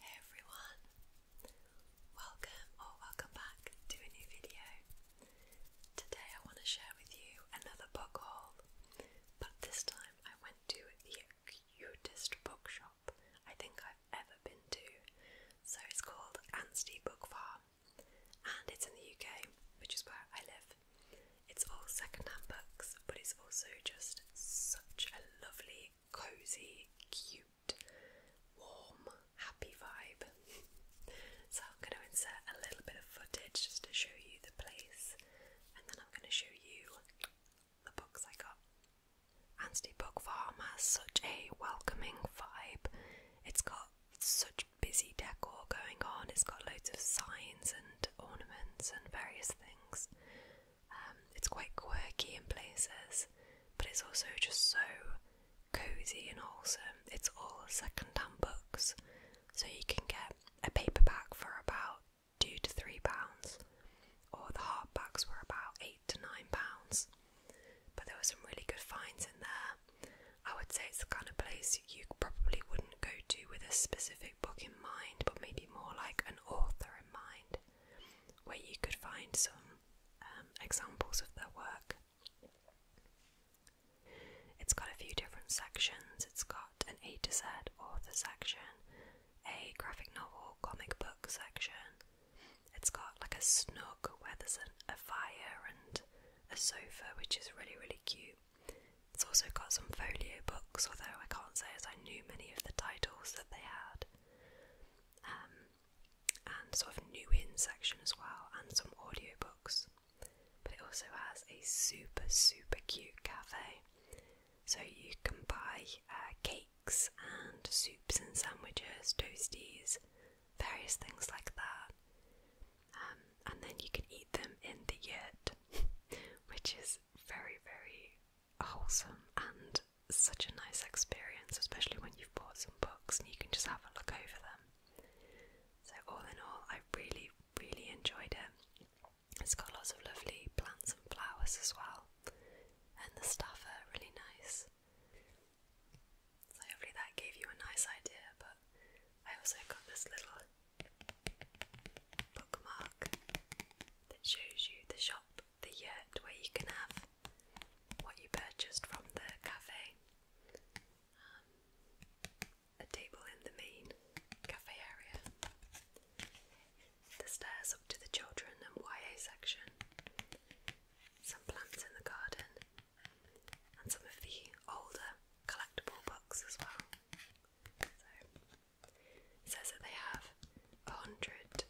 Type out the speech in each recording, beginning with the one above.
Hey everyone, welcome or welcome back to a new video. Today I want to share with you another book haul, but this time I went to the cutest bookshop I think I've ever been to. So it's called Anstey Book Farm, and it's in the UK, which is where I live. It's all secondhand books, but it's also just such a lovely, cozy, cute, warm, happy vibe. so I'm going to insert a little bit of footage just to show you the place, and then I'm going to show you the books I got. Anstey Book Farm has such a welcoming vibe. It's got such busy decor going on, it's got loads of signs and ornaments and various things. Um, it's quite quirky in places, but it's also just so cozy and wholesome. It's all second-hand books, so you can get a paperback for about two to three pounds, or the hardbacks were about eight to nine pounds. But there were some really good finds in there. I would say it's the kind of place you probably wouldn't go to with a specific book in mind, but maybe more like an author in mind, where you could find some um, examples of their work. It's got a few different sections. It's got an A to Z author section, a graphic novel comic book section. It's got like a snug where there's a fire and a sofa, which is really, really cute. It's also got some folio books, although I can't say as I knew many of the titles that they had, um, and sort of new in section as well, and some audiobooks. But it also has a super, super cute cafe, so you can buy uh, cakes and soups and sandwiches, toasties, various things like that. Um, and then you can eat them in the yurt, which is very, very wholesome and such a nice experience, especially when you've bought some books and you can just have a look over them. So, all in all, I really, really enjoyed it. It's got lots of lovely plants and flowers as well, and the stuff are really nice. So, hopefully, that gave you a nice idea, but I also got this little bookmark that shows you the shop, the yurt where you can have what you purchased from the cafe, um, a table in the main cafe area, the stairs up to the children and YA section, some plants in the garden, and some of the older collectible books as well says that they have a hundred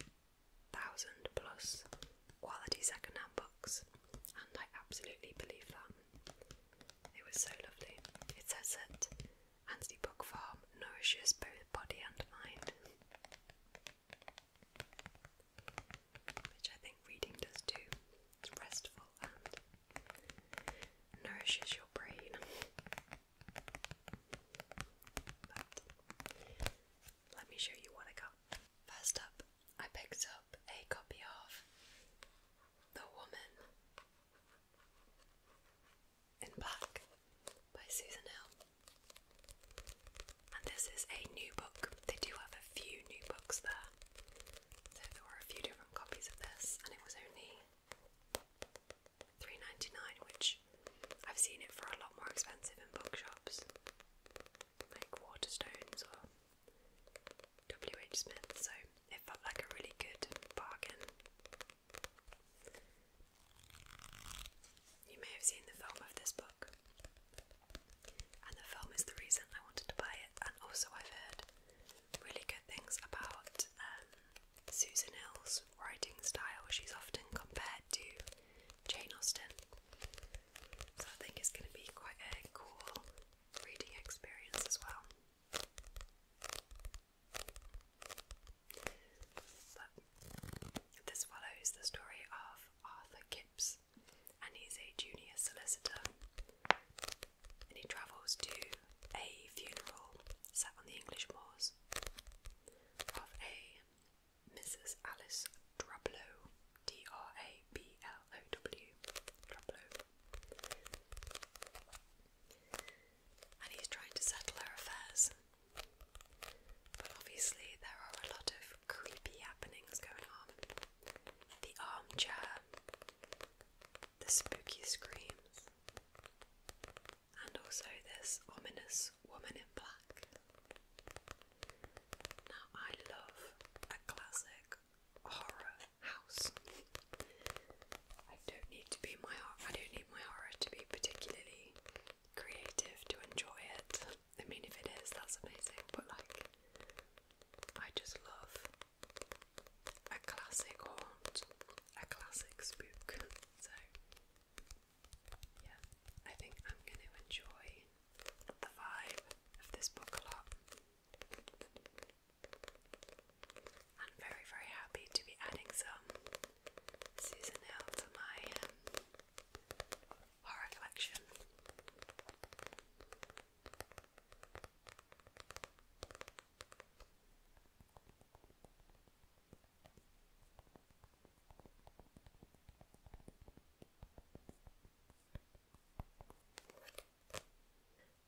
thousand plus quality secondhand books, and I absolutely believe that. It was so lovely. It says that Anstey Book Farm nourishes both body and mind, which I think reading does too. It's restful and nourishes your brain let me show you what I got. First up, I picked up a copy of The Woman in Black by Susan Hill. And this is a new book. They do have a few new books there. So there were a few different copies of this, and it was only 3.99 which I've seen it for a lot more expensive in bookshops like Waterstones or WH Smith so it felt like a really good bargain. You may have seen the film of this book and the film is the reason I wanted to buy it and also I've heard really good things about um, Susan Hill's writing style. She's often compared to Jane Austen. So I think it's going to be quite a cool reading experience as well. But this follows the story of Arthur Kipps, and he's a junior solicitor. And he travels to a funeral set on the English moors of a Mrs. Alice Drablow, D R A B L O W, Drablow. And he's trying to settle her affairs. But obviously, there are a lot of creepy happenings going on. The armchair, the spooky screams, and also this ominous woman in black. Now, I love a classic horror house. I don't need to be my I don't need my horror to be particularly creative to enjoy it. I mean, if it is, that's amazing. But like, I just love a classic haunt, a classic spook. So, yeah, I think I'm going to enjoy the vibe of this book a lot. I'm very, very happy to be adding some Susan Hill to my um, horror collection.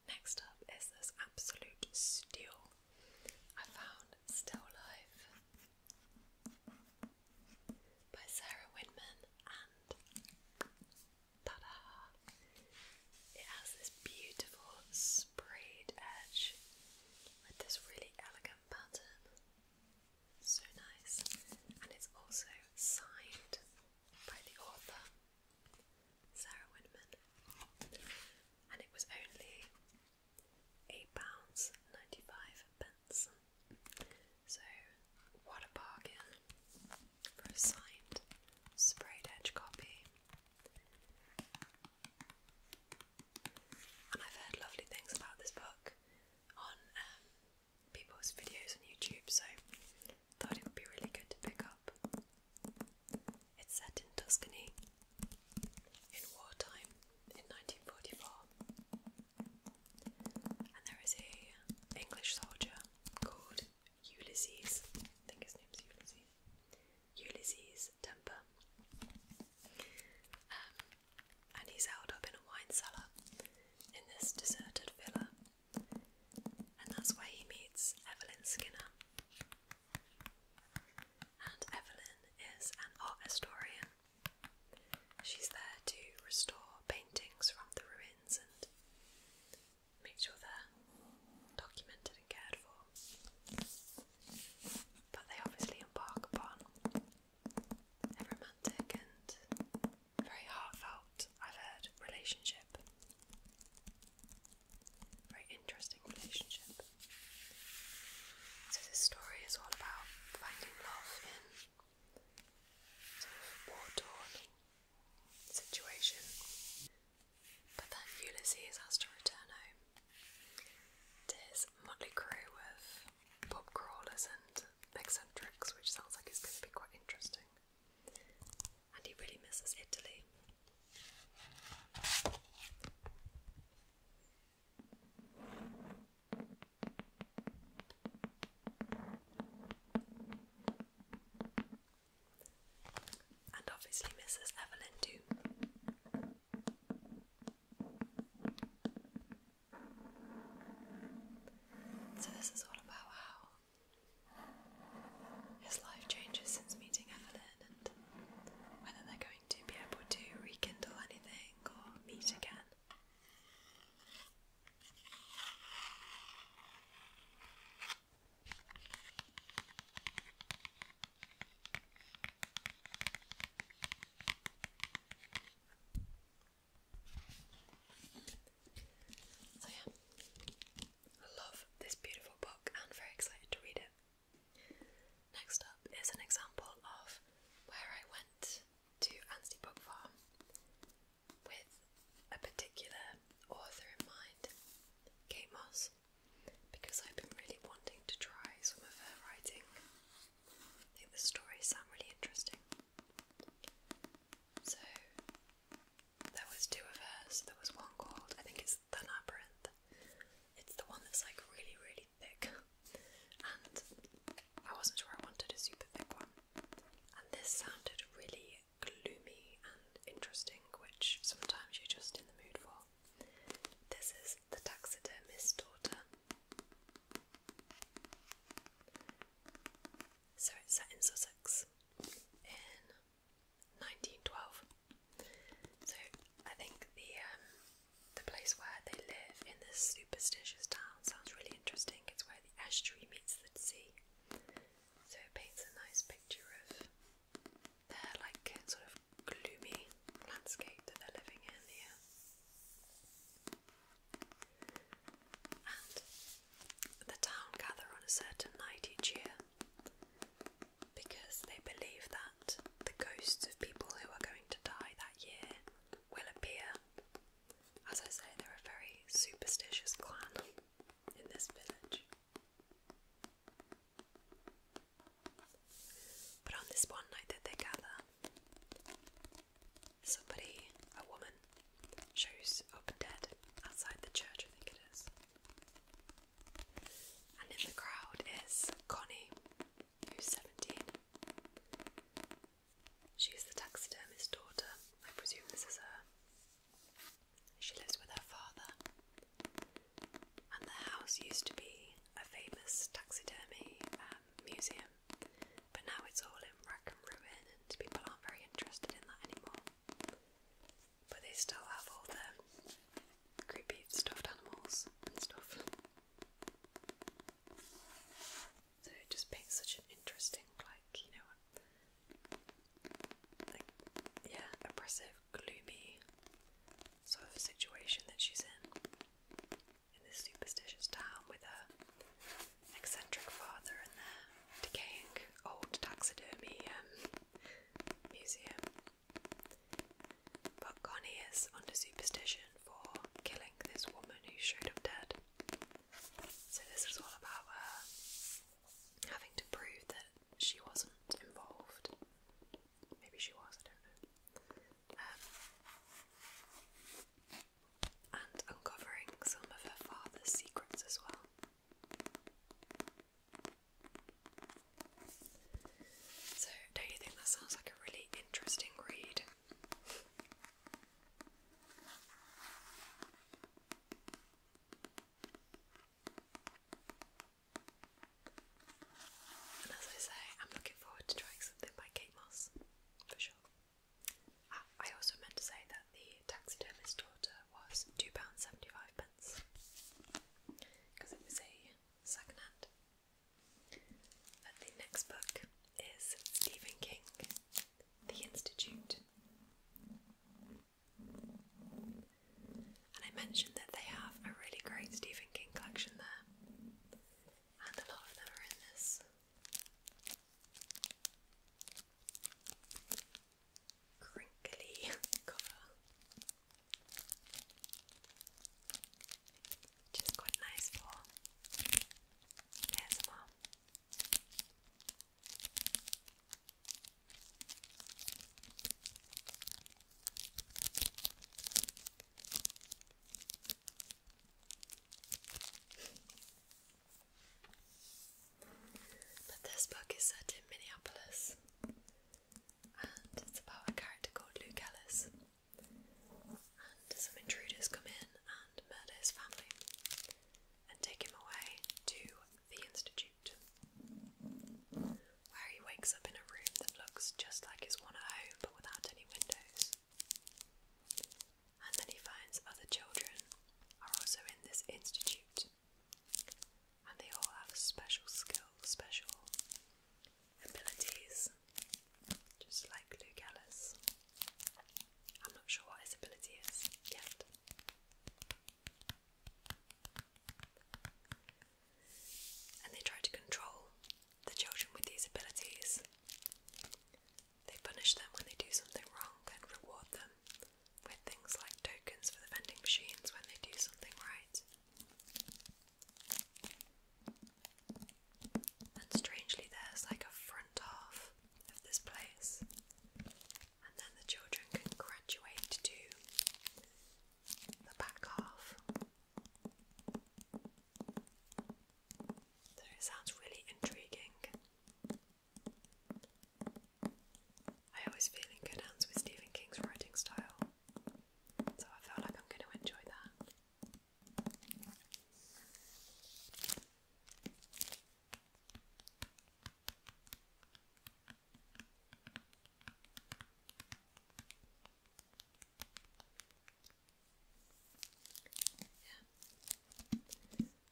Next up is this absolute steal I found Still Life by Sarah Winman and ta-da! It has this beautiful sprayed edge with this really elegant pattern. So nice. And it's also signed by the author, Sarah Winman. And it was only £8.95. So, what a bargain for a signed sprayed edge copy and I've heard lovely things about this book on um, people's videos on YouTube, so thought it would be really good to pick up. It's set in Tuscany in wartime in 1944, and there is a English soldier called Ulysses. I think his name's Ulysses. Ulysses temper. Um, and he's held up in a wine cellar in this deserted villa, and that's where he meets Evelyn Skinner. And Evelyn is an art historian. She's there to restore paintings from the ruins and make sure they're documented cared for. But they obviously embark upon a romantic and very heartfelt, I've heard, relationship. Very interesting relationship. So, this story is all about finding love in sort of war torn situation. But then Ulysses has to return home to his motley crew of pub crawlers and eccentrics, which sounds like it's going to be quite interesting. And he really misses Italy. And obviously, Mrs. Evelyn, too. So, this is all about how his life changes since meeting Evelyn and whether they're going to be able to rekindle anything or meet again. So, yeah, I love this beautiful book and very excited to read it. Next up is an example of where I went to Anstey Book Farm with a particular author in mind. Kate Moss because I've been really wanting to try some of her writing. I think the stories sound really interesting. So, there was two of hers. There was one called, I think it's The It's the one that's like really, really thick. And I wasn't sure I wanted a super thick one. And this sounded really gloomy and interesting, which sometimes you're just in the mood for. This is the taxidermist's daughter. So it's set in Sussex in 1912. So I think the um, the place where they live in this superstitious town sounds really interesting. It's where the estuary meets the sea. So it paints a nice picture of their like sort of gloomy landscape that they're living in here. And the town gather on a certain night each year because they believe that the ghosts of people who are going to die that year will appear. As I say, they're a very superstitious clan in this village. But on this one night that they gather, somebody, a woman, shows up dead outside the church, I think it is. And in the crowd is Connie, who's 17. She's the taxidermist's daughter. I presume this is her. She lives with her father, and the house used to be a famous taxidermy um, museum, but now it's all in wreck and ruin, and people aren't very interested in that anymore. But they still have all the creepy stuffed animals and stuff. So it just paints such an interesting, like, you know, like, yeah, oppressive gloomy sort of situation that she's in in this superstitious town with her eccentric father and their decaying old taxidermy um, museum. But Connie is under superstition for killing this woman who showed up dead. So this was all about her having to prove that she wasn't involved Maybe she was, I don't know. Um, and uncovering some of her father's secrets as well. So, don't you think that sounds like a really interesting read? And as I say, I'm looking forward to trying something by Kate Moss, for sure. Ah, I also meant to say that the taxidermist's daughter was £2.75 pence because it was a second hand. the next book is Stephen King, The Institute. And I mentioned that they have a really great Stephen King collection there, and a lot of them are in this. Crinkly cover, which quite nice for ASMR. But this book is set in Minneapolis and it's about a character called Luke Ellis. And some intruders come in and murder his family and take him away to the Institute cute. Where he wakes up in a room that looks just like his one at home but without any windows. And then he finds other children are also in this institute. And they all have special skills, special abilities, just like Luke I'm not sure what his ability is yet. And they try to control the children with these abilities. They punish them when they do something wrong and reward them with things like tokens for the vending machines when they do something right. And strangely, there's like a front of this place, and then the children can graduate to the back half. So it sounds really intriguing. I always feel in good hands with Stephen King's writing style, so I feel like I'm going to enjoy that.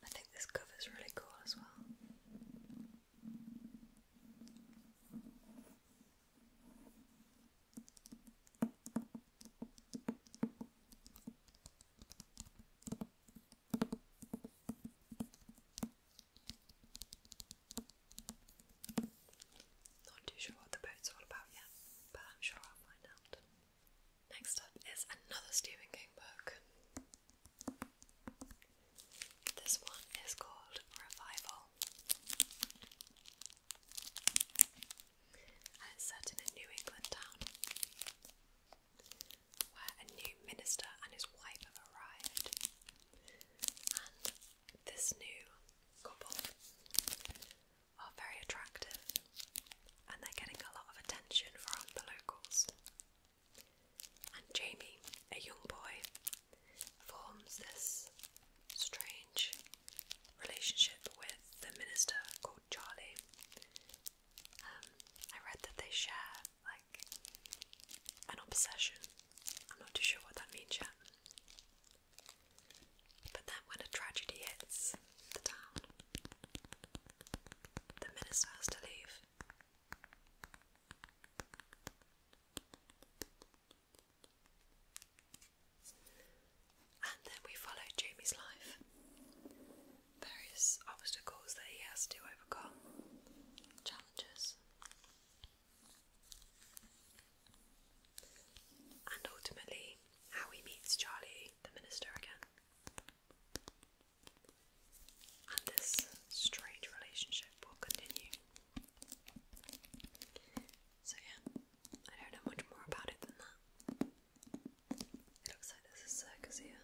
I think this cover is really cool as well. Not too sure what the boat's all about yet, but I'm sure I'll find out. Next up is another Stephen King book. This one is called Revival. And it's set in a New England town where a new minister and his wife have arrived and this new couple are very attractive and they're getting a lot of attention from the locals. And Jamie, a young boy, forms this strange relationship with the minister called Charlie. Um, I read that they share like an obsession. I'm not too sure what that means yet. But then when a tragedy hits the town, the minister has to leave. And then we follow Jamie's life. Various obstacles that he has to overcome, challenges, and ultimately, how he meets Charlie, the minister, again. And this strange relationship will continue. So, yeah, I don't know much more about it than that. It looks like there's a circus here.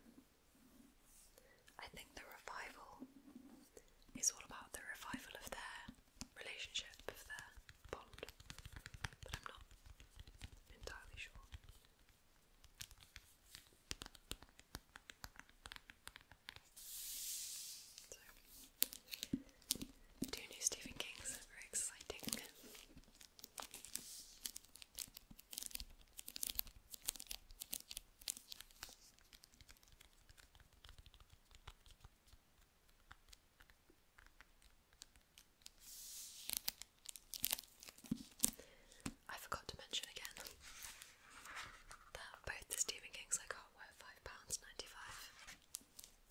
I think the revival is all about the revival of their relationship, of their bond, but I'm not entirely sure. two new Stephen Kings very exciting. I forgot to mention again that both the Stephen King's I got were £5.95.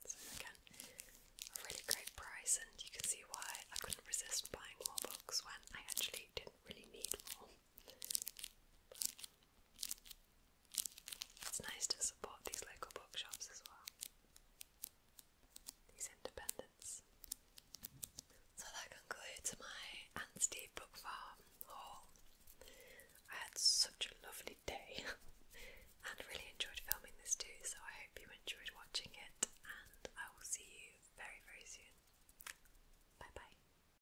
So again, a really great price and you can see why I couldn't resist buying more books when I actually didn't really need more it's nice to support these local bookshops as well. These independents. So that concludes my Aunt Book Farm haul. I had such a lovely day and really enjoyed filming this too, so I hope you enjoyed watching it and I will see you very very soon. Bye bye.